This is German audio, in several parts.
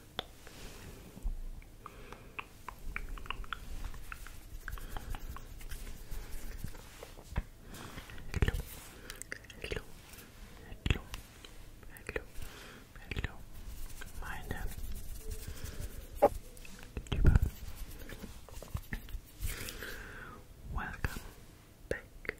Hello. Hello. Hello. Hello. Hello. Meine Liebe. Welcome back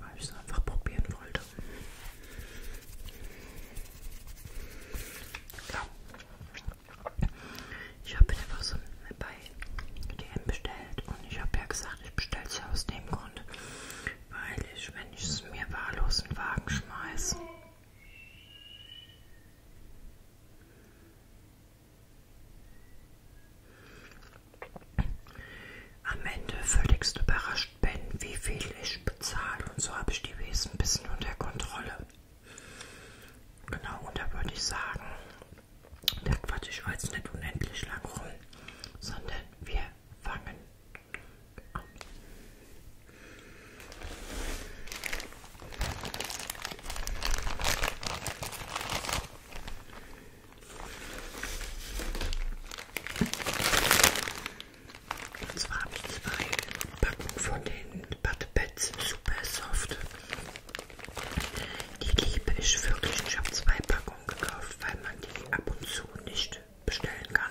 Weil ich es einfach probieren wollte. Ja. Ich habe einfach so bei DM bestellt und ich habe ja gesagt, ich bestelle es ja aus dem Grund, weil ich, wenn ich es mir wahllos in den Wagen schmeiße, am Ende völligst überrascht Ben, wie viel ich bezahle und so habe ich die Wesen ein bisschen unter Kontrolle. Genau, und da würde ich sagen, da quatsch ich jetzt nicht unendlich lang rum, sondern wir fangen an. Und zwar habe ich zwei Packen von den Bud Pads Super Soft. Die liebe ich wirklich. Ich habe zwei Packungen gekauft, weil man die ab und zu nicht bestellen kann.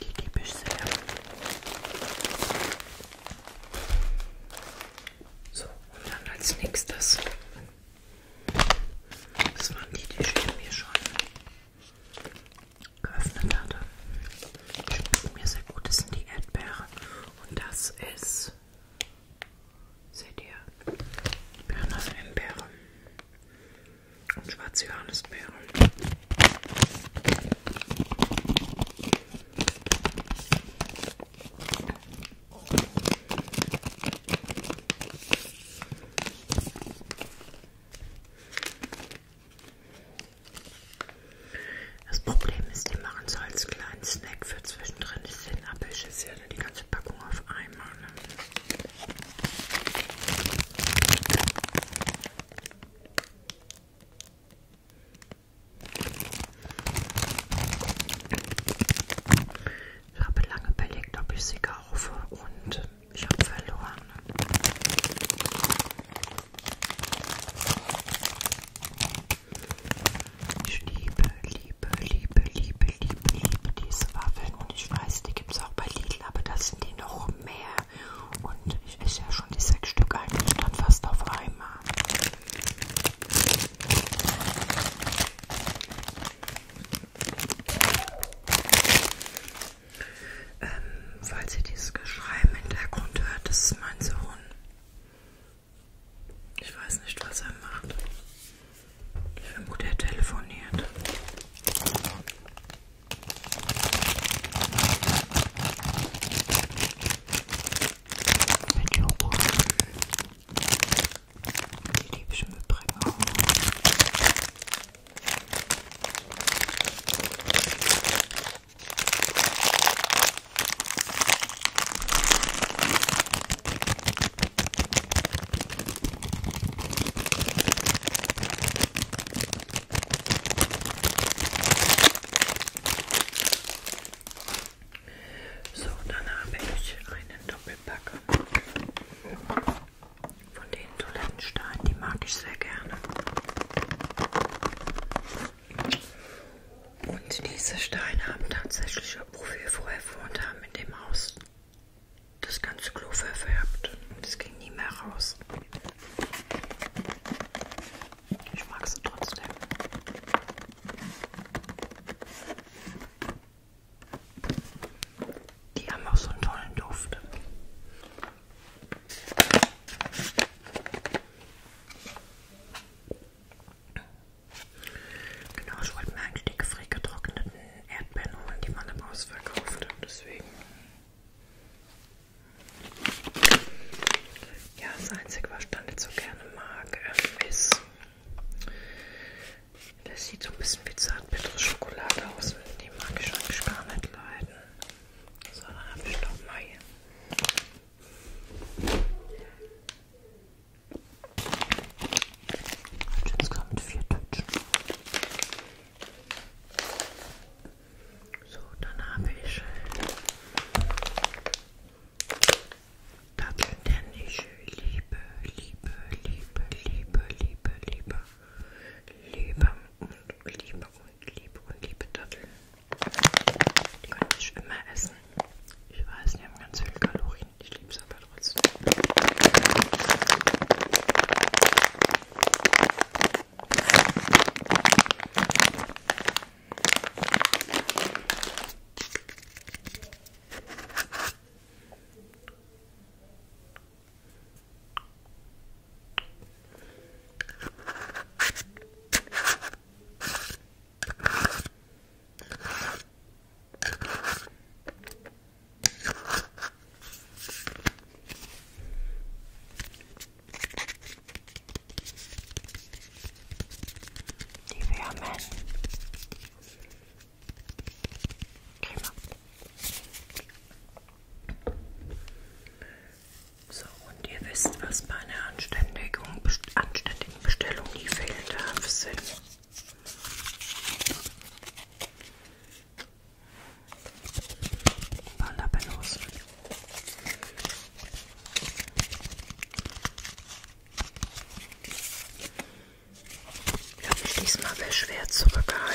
Die gebe ich sehr. So, und dann als nächstes. Das waren die, die ich mir schon geöffnet hatte. Schmeckt mir sehr gut. Das sind die Erdbeeren. Und das ist Seht ihr? Birnen aus Himbeere und schwarze Johannisbeere. Das Problem ist, die machen so als kleinen Snack für zwischendrin. Ich finde Apfelschüsse leider die ganze Packung auf einmal. Ne? Ich habe lange überlegt, ob ich sie kaufe und ich habe verloren. Ich liebe, liebe, liebe, liebe, liebe, liebe diese Waffeln. Und ich weiß, die gibt es auch bei Lidl, aber das sind die noch mehr. Und ich esse ja schon die sechs Stück eigentlich dann fast auf einmal. Ähm, falls ihr dieses Geschrei im Hintergrund hört, das ist mein Sohn. Ich weiß nicht, was er macht. Ich vermute, er telefoniert. Mit Joghurt. Die liebe ich im Übrigen auch. So, dann habe ich einen Doppelpacker von den Toilettensteinen, die mag ich sehr gerne. Und diese Steine haben tatsächlich, wofür wir vorher gewohnt haben, in dem Haus das ganze Klo verfärbt. Und es ging nie mehr raus. Ich mag sie trotzdem. Die haben auch so einen tollen Duft. Genau, ich wollte mir eigentlich die gefriergetrockneten Erdbeeren holen, die man im Ausverkauft hat, deswegen. Ja, das Einzige, was ich dann nicht so gerne mag, ähm, ist, das sieht so ein bisschen wie zartbittere Schokolade aus. Die mag ich eigentlich gar nicht leiden. So, dann habe ich noch mal hier. Jetzt kam mit vier Tütchen. So, dann habe ich äh, Datteln, denn ich liebe, liebe, liebe, liebe, liebe, liebe, liebe und liebe und liebe und liebe Datteln. Die kann ich immer essen. Ich weiß, die haben ganz viele Kalorien. Ich liebe es aber trotzdem. Die Würmen. Prima. So, und ihr wisst, was bei einer Anständigung, anständigen die Bestellung nie fehlen darf, sind Panda-Bellos. Ich habe mich diesmal sehr schwer zurückgehalten.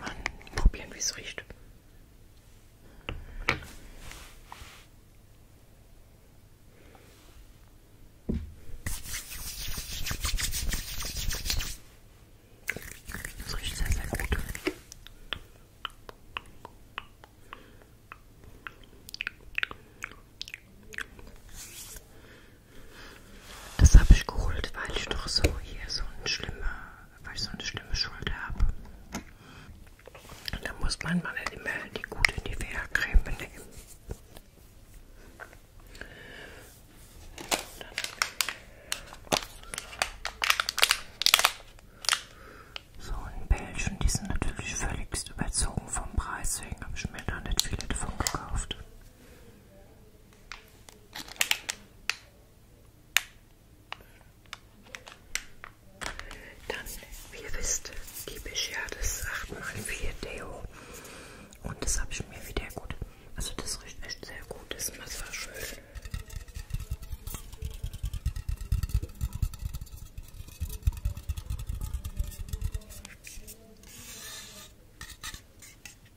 Mann, probieren, wie es riecht. Es riecht sehr, sehr gut. Das habe ich geholt, weil ich doch so hier so eine schlimme, weil ich so eine schlimme Schulter habe. Da muss mein Mann immer die gute Nivea-Creme nehmen. So in Belgien, die sind natürlich völligst überzogen vom Preis, deswegen habe ich mir da nicht viele davon gekauft. Dann, wie ihr wisst, liebe ich ja das 8x4 Deo. Und das habe ich mir wieder gut. Also das riecht echt sehr gut, das Massageöl.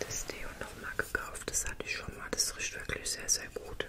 das Deo nochmal gekauft. Das hatte ich schon mal. Das riecht wirklich sehr, sehr gut.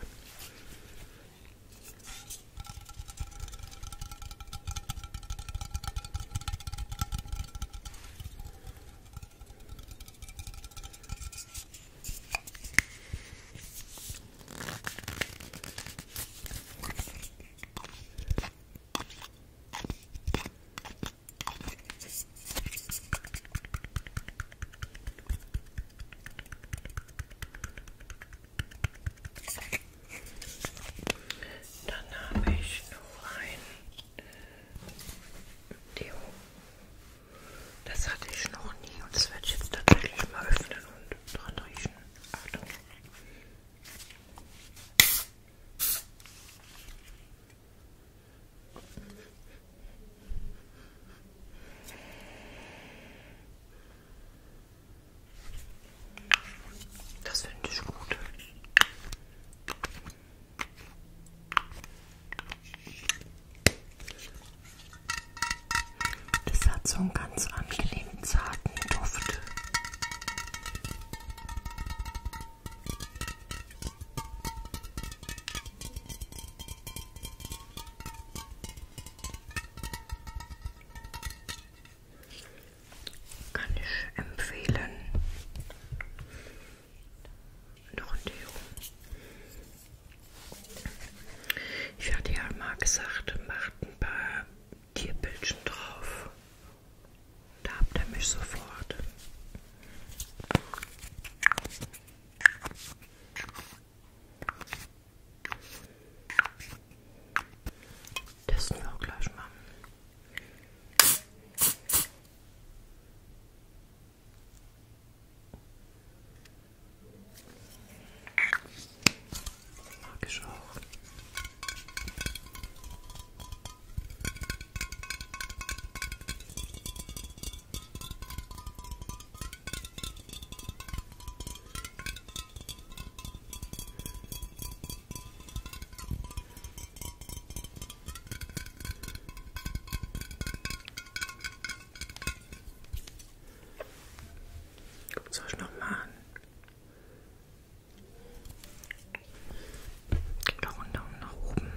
Dann habe ich noch ein Deo. Das hatte ich noch nie und das werde ich jetzt tatsächlich mal öffnen und dran riechen. Achtung. Das finde ich gut. Das hat so einen ganz angenehmen, zarten Duft. Kann ich empfehlen. Noch ein Deo. Ich hatte ja mal gesagt, macht ein paar Tierbildchen drauf. Da habt ihr mich sofort. Testen wir auch gleich mal. Mag ich auch. Soll ich nochmal an? Gib noch einen Daumen nach oben.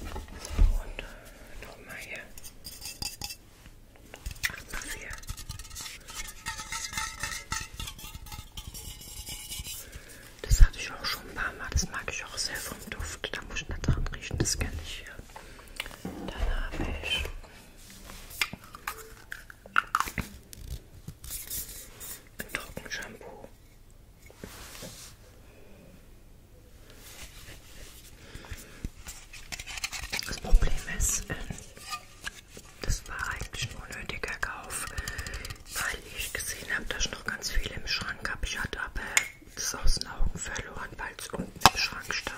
Und nochmal hier. Ach, das hier. Das hatte ich auch schon ein paar Mal. Das mag ich auch sehr vom Duft. Da muss ich nicht dran riechen. Das kenne ich hier. Dann habe ich ein Trockenshampoo. Das Problem ist, ähm, das war eigentlich ein unnötiger Kauf, weil ich gesehen habe, dass ich noch ganz viel im Schrank habe. Ich hatte aber das aus den Augen verloren, weil es unten im Schrank stand.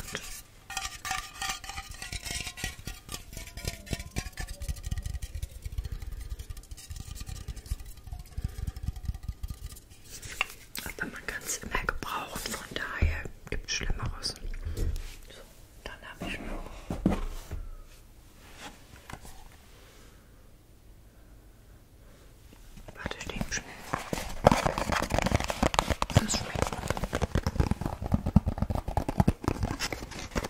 Aber man kann es immer gebrauchen, von daher gibt es Schlimmeres. So, dann habe ich noch. Warte, ich nehme schnell. Das schmeckt.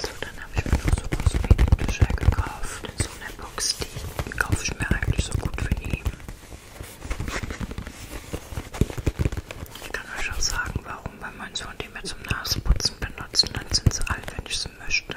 So, dann habe ich mir noch so Kosmetikbücher gekauft in so einer Box, die kaufe ich mir eigentlich so gut für ihn. Ich kann euch auch sagen, warum, wenn man so die mir zum Nasenputzen benutzen, dann sind sie alt, wenn ich sie möchte.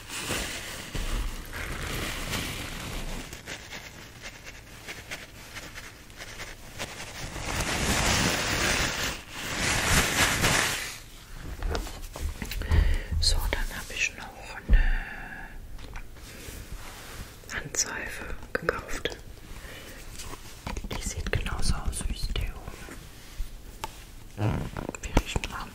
So, dann habe ich noch eine Handseife gekauft. Die sieht genauso aus wie Deo. Wir riechen an.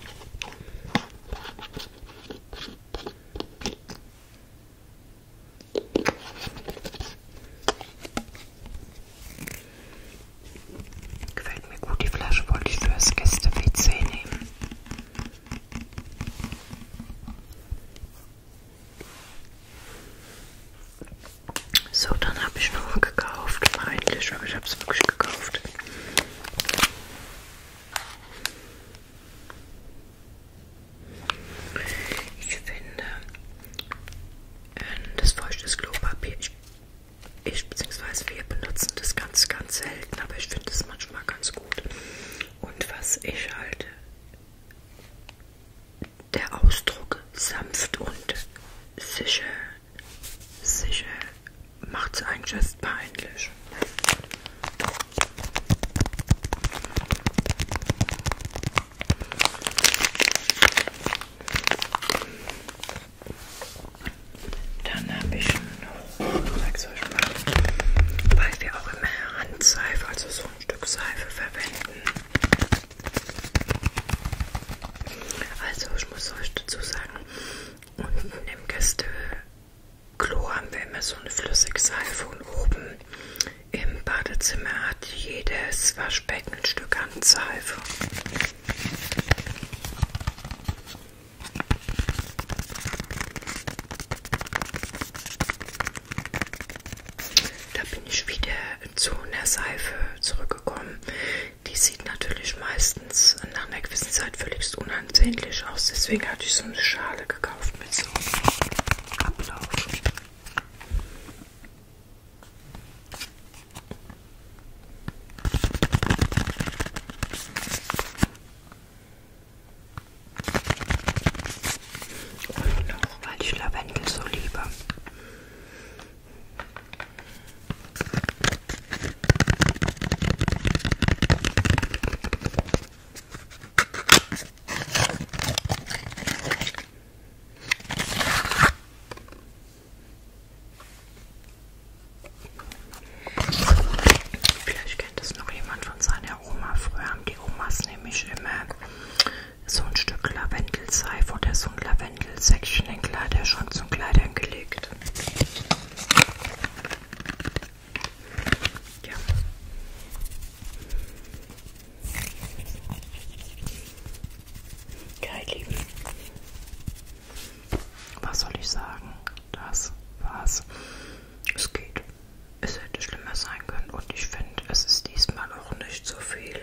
Gefällt mir gut, die Flasche wollte ich für das Gäste-WC nehmen. So, dann habe ich noch gekauft, eigentlich, aber ich habe es wirklich gekauft. Ich finde ähm, das feuchtes Klopapier, ich, ich bzw. wir benutzen das ganz, ganz selten, aber ich finde es manchmal ganz gut. Und was ich halte, der Ausdruck sanft und sicher sicher macht's einen just peinlich. Dann habe ich noch, zeig's euch mal, weil wir auch immer Handseife, also so ein Stück Seife verwenden. Also ich muss euch dazu sagen, unten im Gästeklo haben wir immer so eine Flüssigseife und oben im Badezimmer hat jedes Waschbecken ein Stück Handseife. Da bin ich wieder im Zoo in der Seife zurückgekommen. Die sieht natürlich meistens nach einer gewissen Zeit völlig unansehnlich aus. Deswegen hatte ich so eine Schale gekauft mit so einem Ablauf. Und noch, weil ich Lavendel so liebe. Vielleicht kennt es noch jemand von seiner Oma. Früher haben die Omas nämlich immer so ein Stück Lavendelseif oder so ein Wendelsäckchen in Kleiderschrank zum Kleidern gelegt. Ja. Geil, ja, Lieben. Was soll ich sagen? Das war's. Es geht. Es hätte schlimmer sein können und ich finde, es ist diesmal auch nicht so viel.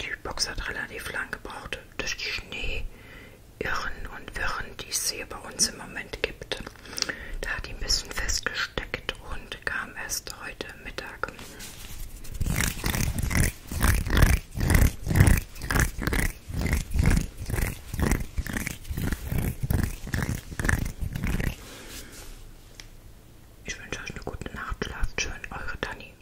die Box hat relativ lang gebraucht durch die Schneeirren und Wirren, die es hier bei uns im Moment gibt. Da hat die ein bisschen festgesteckt und kam erst heute Mittag. Ich wünsche euch eine gute Nacht, schlaft schön, eure Dani.